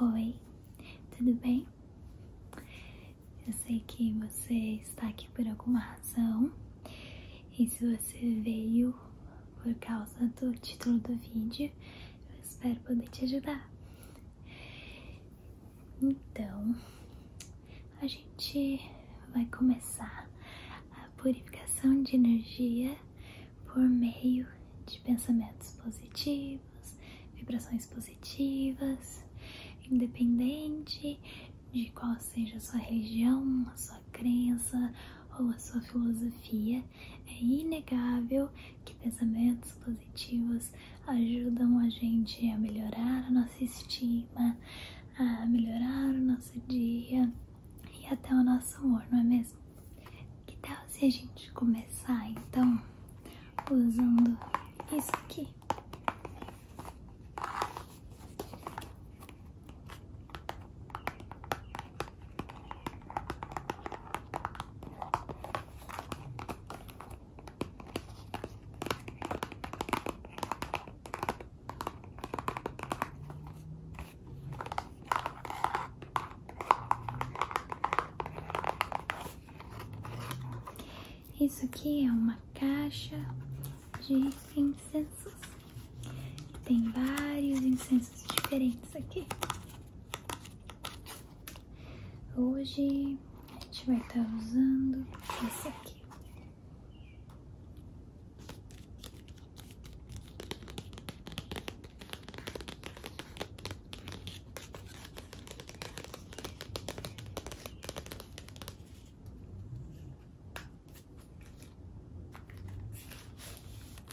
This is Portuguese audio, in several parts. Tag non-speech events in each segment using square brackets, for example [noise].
Oi, tudo bem? Eu sei que você está aqui por alguma razão e se você veio por causa do título do vídeo, eu espero poder te ajudar. Então, a gente vai começar a purificação de energia por meio de pensamentos positivos, vibrações positivas, independente de qual seja a sua religião, a sua crença ou a sua filosofia, é inegável que pensamentos positivos ajudam a gente a melhorar a nossa estima, a melhorar o nosso dia e até o nosso amor, não é mesmo? Que tal se a gente começar então usando isso aqui? Isso aqui é uma caixa de incensos. Tem vários incensos diferentes aqui. Hoje a gente vai estar tá usando esse aqui.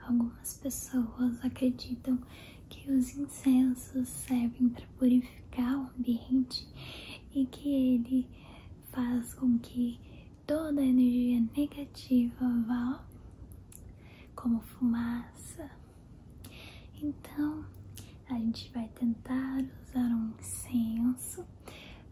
Algumas pessoas acreditam que os incensos servem para purificar o ambiente e que ele faz com que toda a energia negativa vá como fumaça. Então, a gente vai tentar usar um incenso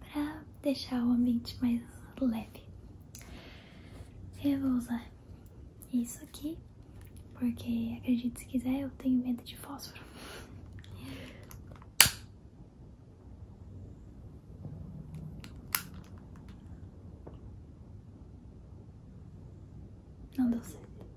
para deixar o ambiente mais leve. Eu vou usar isso aqui, porque acredite se quiser, eu tenho medo de fósforo. Não deu certo.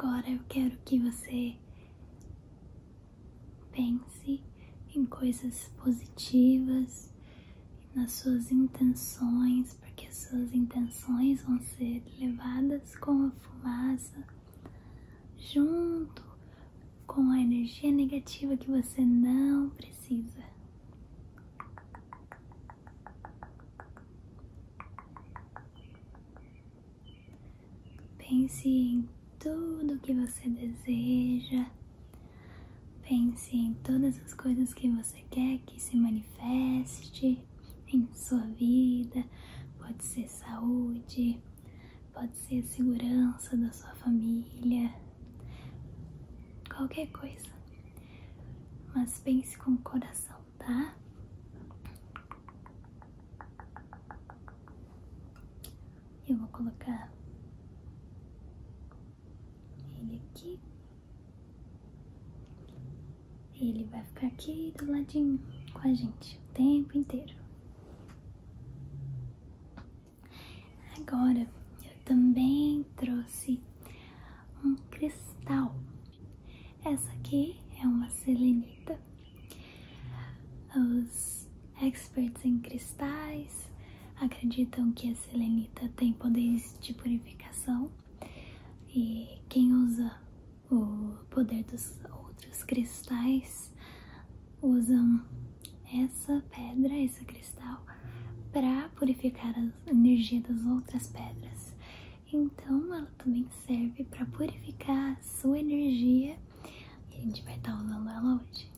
Agora eu quero que você pense em coisas positivas, nas suas intenções, porque suas intenções vão ser levadas com a fumaça junto com a energia negativa que você não precisa. Pense em tudo que você deseja. Pense em todas as coisas que você quer que se manifeste em sua vida, pode ser saúde, pode ser segurança da sua família, qualquer coisa. Mas pense com o coração, tá? Eu vou colocar ele aqui ele vai ficar aqui do ladinho com a gente o tempo inteiro. Agora eu também trouxe um cristal. Essa aqui é uma selenita. Os experts em cristais acreditam que a selenita tem poderes de purificação e quem usa o poder dos outros cristais usam essa pedra, esse cristal, para purificar a energia das outras pedras. Então, ela também serve para purificar a sua energia e a gente vai estar tá usando ela hoje.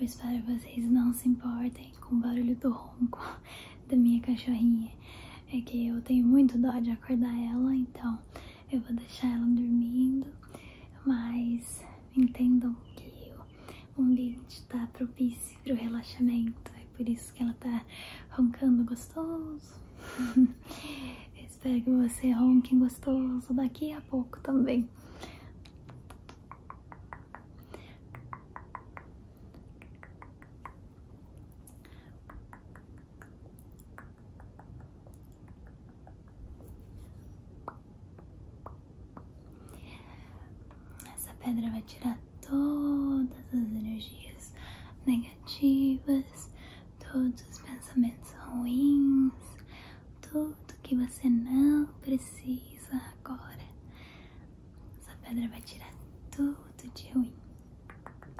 Eu espero que vocês não se importem com o barulho do ronco [laughs] da minha cachorrinha é que eu tenho muito dó de acordar ela, então eu vou deixar ela dormindo, mas entendam que o ambiente está propício para o relaxamento, é por isso que ela está roncando gostoso. [laughs] Espero que você ronque gostoso daqui a pouco também. Essa pedra vai tirar todas as energias negativas, todos os pensamentos ruins, tudo que você não precisa agora. Essa pedra vai tirar tudo de ruim.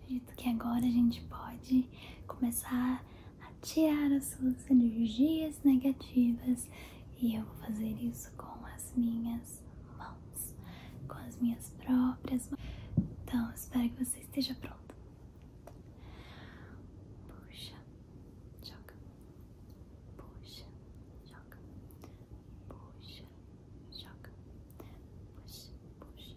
Acredito que agora a gente pode começar a tirar as suas energias negativas e eu vou fazer isso com as minhas mãos, com as minhas próprias mãos. Então, espero que você esteja pronto. Puxa, choca, Puxa, choca, Puxa, choca, Puxa, puxa.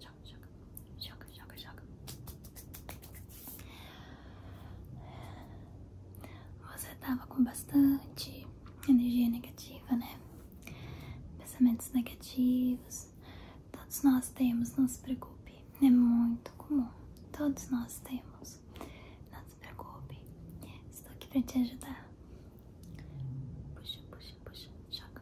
joga, joga, joga, joga, Você tava com bastante energia negativa, né? Pensamentos negativos. Todos nós temos, não se preocupe. É muito comum. Todos nós temos. Não se preocupe. Estou aqui para te ajudar. Puxa, puxa, puxa. Joga,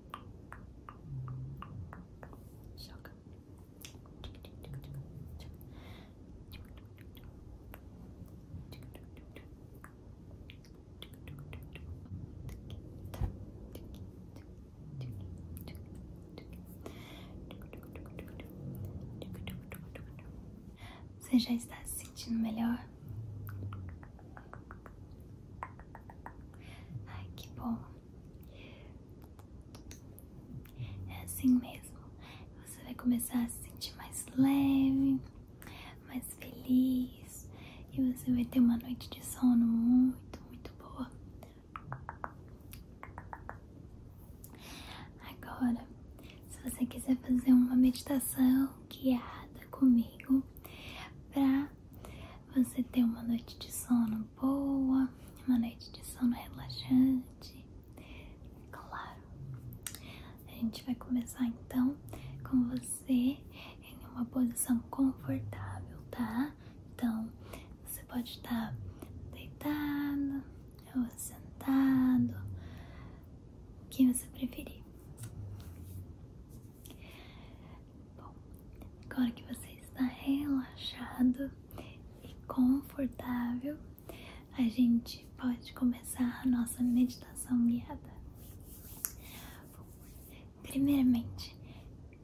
Joga. Você já está se sentindo melhor? Ai, que bom. É assim mesmo. Você vai começar a se sentir mais leve, mais feliz e você vai ter uma noite de sono muito, muito boa. Agora, se você quiser fazer uma meditação guiada comigo para você ter uma noite de sono boa, uma noite de sono relaxante. Claro. A gente vai começar então com você em uma posição confortável, tá? Então, você pode estar deitado ou sentado, o que você preferir. Bom, agora que você está relaxado e confortável, a gente pode começar a nossa meditação guiada. Bom, primeiramente,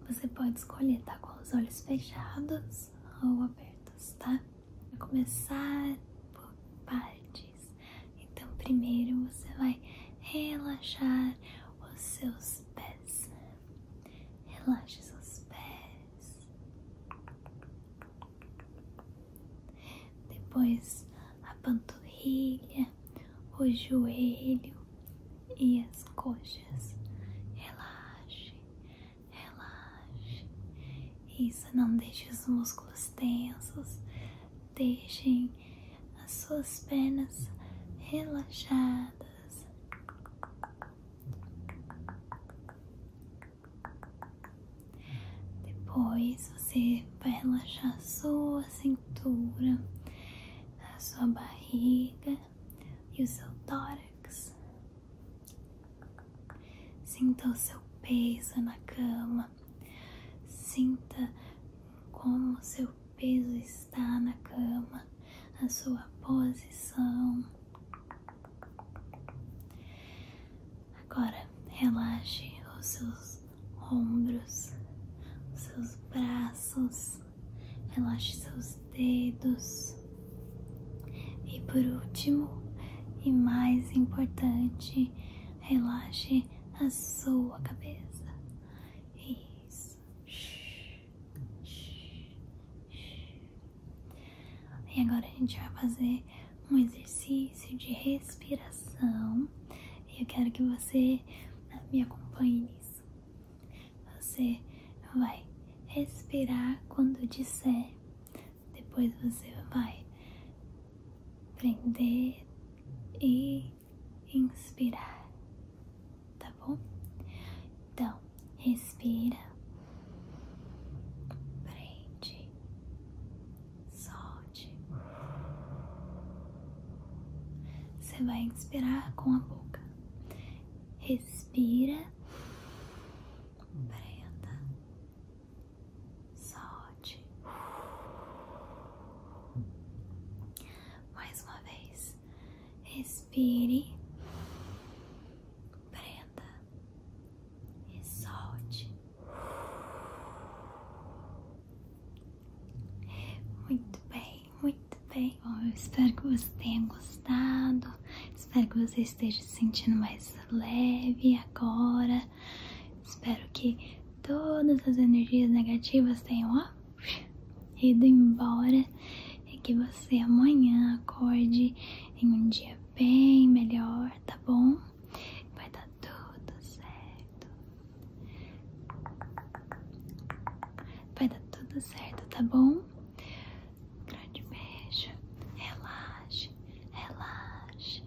você pode escolher estar tá? com os olhos fechados ou abertos, tá? Vou começar por partes. Então, primeiro você vai relaxar os seus pés, relaxe os pés. Depois a panturrilha, o joelho e as coxas. Relaxe, relaxe. Isso, não deixe os músculos tensos. Deixem as suas pernas relaxadas. Depois você vai relaxar a sua cintura, a sua barriga e o seu tórax. Sinta o seu peso na cama. Sinta como o seu peso está está na cama, a sua posição. Agora relaxe os seus ombros, os seus braços, relaxe seus dedos. E por último, e mais importante, relaxe a sua cabeça. Isso. E agora a gente vai fazer um exercício de respiração. E eu quero que você me acompanhe nisso. Você vai respirar quando disser. Depois você vai prender e inspirar, tá bom? Então, respira, prende, solte. Você vai inspirar com a boca, respira, prenda, solte. Mais uma vez, respire, prenda e solte. Muito bem, muito bem. Bom, espero que você tenha gostado. Espero que você esteja se sentindo mais leve agora, Espero que todas as energias negativas tenham ido embora e que você amanhã acorde em um dia bem melhor, tá bom? Vai dar tudo certo. Vai dar tudo certo, tá bom? Grande beijo. Relaxa. Relaxa.